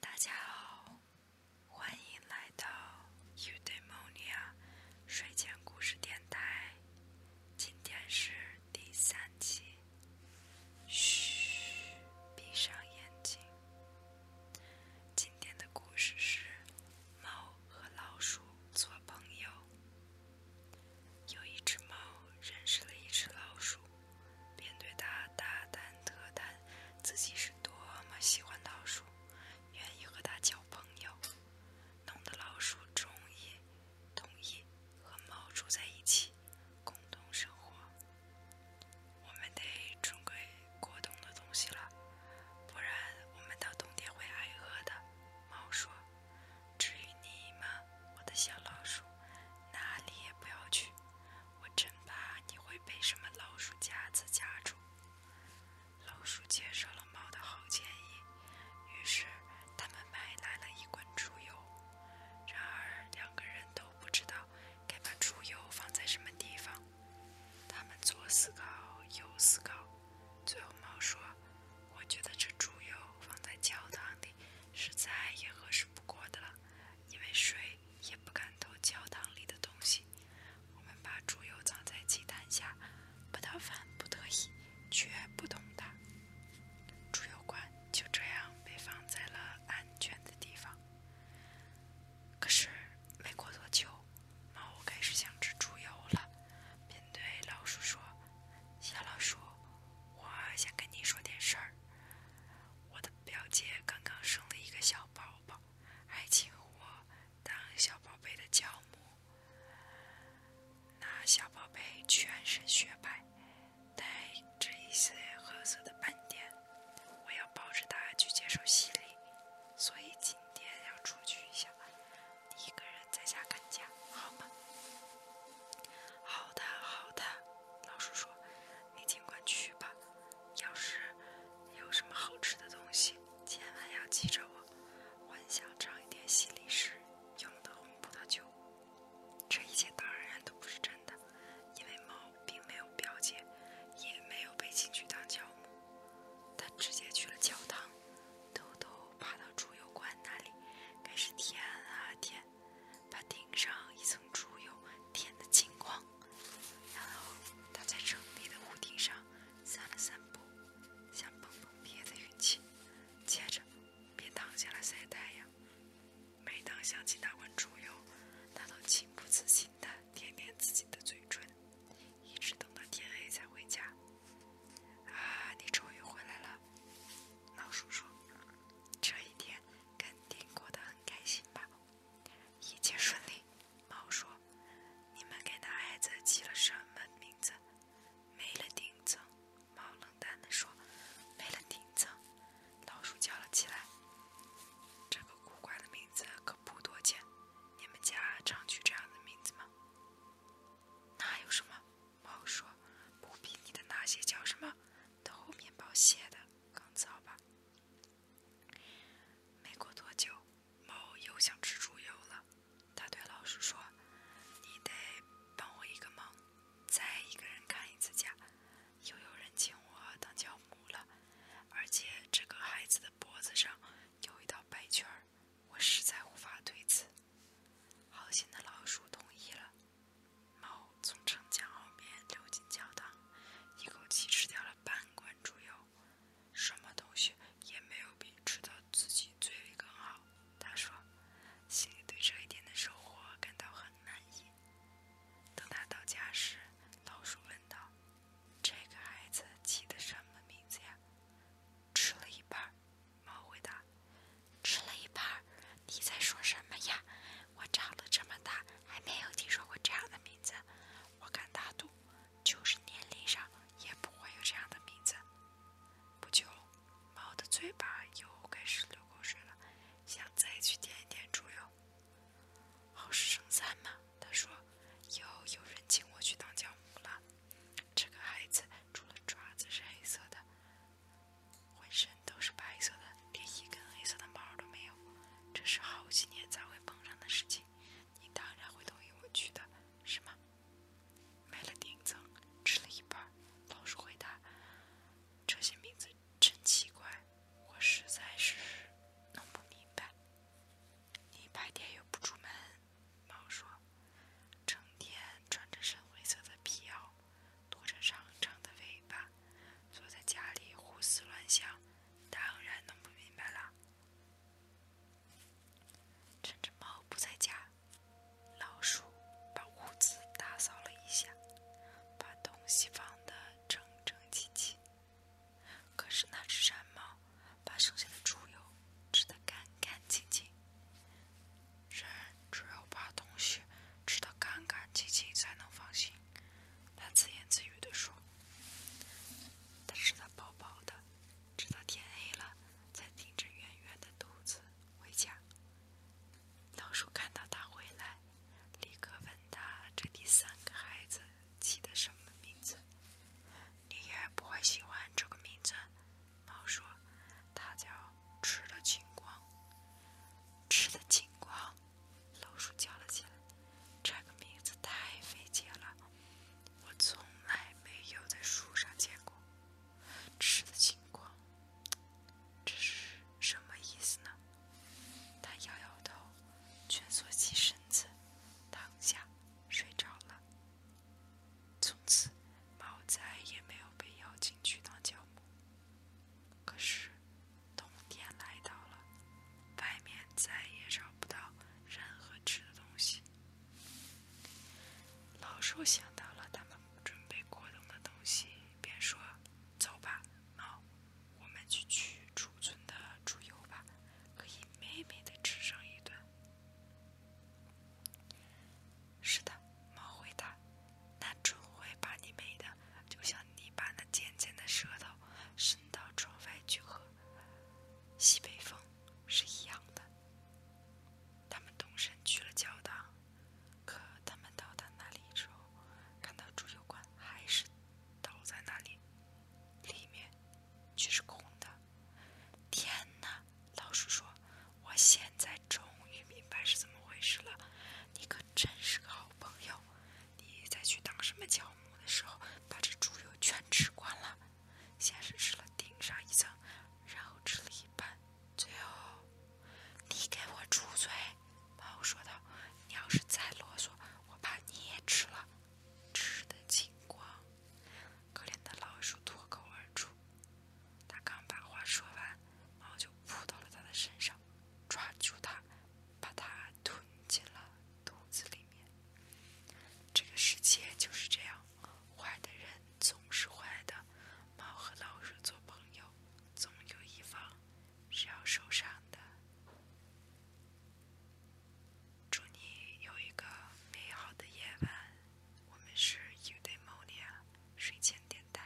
大家好，欢迎来到 Udemonia 睡前故事电台。今天是第三集。嘘，闭上眼睛。今天的故事是猫和老鼠做朋友。有一只猫认识了一只老鼠。便对他大谈特谈自己是多么喜欢老鼠，愿意和他交朋友，弄得老鼠终于同意和猫住在一起，共同生活。我们得准备过冬的东西了，不然我们到冬天会挨饿的。猫说：“至于你们，我的小老鼠，哪里也不要去。”我真怕你会被什么老鼠夹子夹住。老鼠接受了猫的好建议，于是他们买来了一罐猪油。然而两个人都不知道该把猪油放在什么地方。他们左思考右思考，最后猫说：“我觉得这猪油放在教堂里是再也合适不过的了。”因为谁也不敢偷教堂里的东西，我们把猪油藏在鸡蛋下，不到万不得已绝不动它。猪油罐就这样被放在了安全的地方。可是没过多久，猫开始想吃猪油了，便对老鼠说：“小老鼠，我想跟你说点事儿。”我的。表姐刚刚生了一个小宝宝，还请我当小宝贝的教母。那小宝贝全身雪白，带着一些褐色的斑点。我要抱着它去接受洗礼，所以今天要出去一下。你一个人在家看家，好吗？好的，好的。老鼠说。你尽管去吧，要是有什么好吃的东西，千万要记着我。我很想尝一点西里时用的红葡萄酒。这一切当然都不是真的，因为猫并没有表姐，也没有被请去当教母。它直接去了教堂，偷偷爬到猪油罐那里，开始舔啊舔。把顶上一层猪油舔得金光。然后，他在城里的屋顶上散了散步，想碰碰别的运气。接着，便躺下来晒太阳。每当想起那罐猪油，他都情不自禁地舔舔自己的嘴唇，一直等到天黑才回家。啊，你终于回来了，老鼠说。这一天。肯定过得很开心吧？一切顺利。猫说：“你们给大孩子起了什么名字？”没了钉子。猫冷淡地说：“没了钉子。”老鼠叫了起来：“这个古怪的名字可不多见。你们家常取这样的名字吗？”那有什么？猫说：“不比你的那些叫什么？”偷面包屑的，更糟吧？没过多久，猫又想吃猪油了。它对老鼠说：“你得帮我一个忙，再一个人看一次家。又有人请我当教母了，而且这个孩子的脖子上有一道白圈我实在无法推辞。”好心的老鼠同意了。猫从城墙后面溜进教堂，一口气吃掉了半罐猪油。什么东西也没有比吃到自己嘴里更好。他说，心里对这一天的收获感到很满意。等他到家时，老鼠问道：“这个孩子起的什么名字呀？”“吃了一半。”猫回答。“吃了一半。”你在说什么呀？我长了这么大，还没有听说过这样的名字。我敢打赌，就是年龄上也不会有这样的名字。不久，猫的嘴巴又开始流口水了，想再去舔一舔猪油。好事成三嘛，他说，又有人请我去当教母了。这个孩子除了爪子是黑色的。浑身都是白色的，连一根黑色的毛都没有，这是好几年才会碰上的事情。你当然会同意我去的，是吗？买了顶层，吃了一半。老鼠回答：“这些名字真奇怪，我实在是弄不明白。”你白天又不出门，猫说：“成天穿着深灰色的皮袄。”拖着长长的尾巴，坐在家里胡思乱想，当然弄不明白了。趁着猫不在家，老鼠把屋子打扫了一下，把东西放得整整齐齐。可是那只山猫把剩下的猪油吃得干干净净。山。只有把东西吃得干干净净才能放心，它自言自语地说：“它吃得饱饱的，直到天黑了，才顶着圆圆的肚子回家。”老鼠看到它回来，立刻问它：“这第三个孩子起的什么名字？”“你也不会喜欢这个名字。”猫说：“它叫吃的精光，吃的精光。”老鼠叫了起来，这个名字太费解了，我从来没有在树上见过。吃的情况，这是什么意思呢？它摇摇头，蜷缩起身子，躺下睡着了。从此，猫再也没有被邀请去当教母。可是……冬天来到了，外面再也找不到任何吃的东西。老兽想到了他们准备过冬的东西，便说：“走吧，猫，我们去取储存的猪油吧，可以美美的吃上一顿。”是的，猫回答。那准会把你美的，就像你把那尖尖的舌头伸到窗外去喝西北风是一样的。他们动身去了教堂，可他们到达那里之后，看到猪油罐还是倒在那里，里面却是空的。天呐，老鼠说：“我现在终于明白是怎么回事了。”你可真是个好朋友！你再去当什么教母的时候，把这猪油全吃光了，先是吃了顶上一层，然后吃了一半，最后你给我住嘴！猫说道：“你要是再啰嗦，我把你也吃了，吃的精光。”可怜的老鼠脱口而出，他刚把话说完，猫就。扑到了他的身上，抓住他，把他吞进了肚子里面。这个世界就是这样，坏的人总是坏的。猫和老鼠做朋友，总有一方是要受伤的。祝你有一个美好的夜晚。我们是 Udaymonia 睡前电台。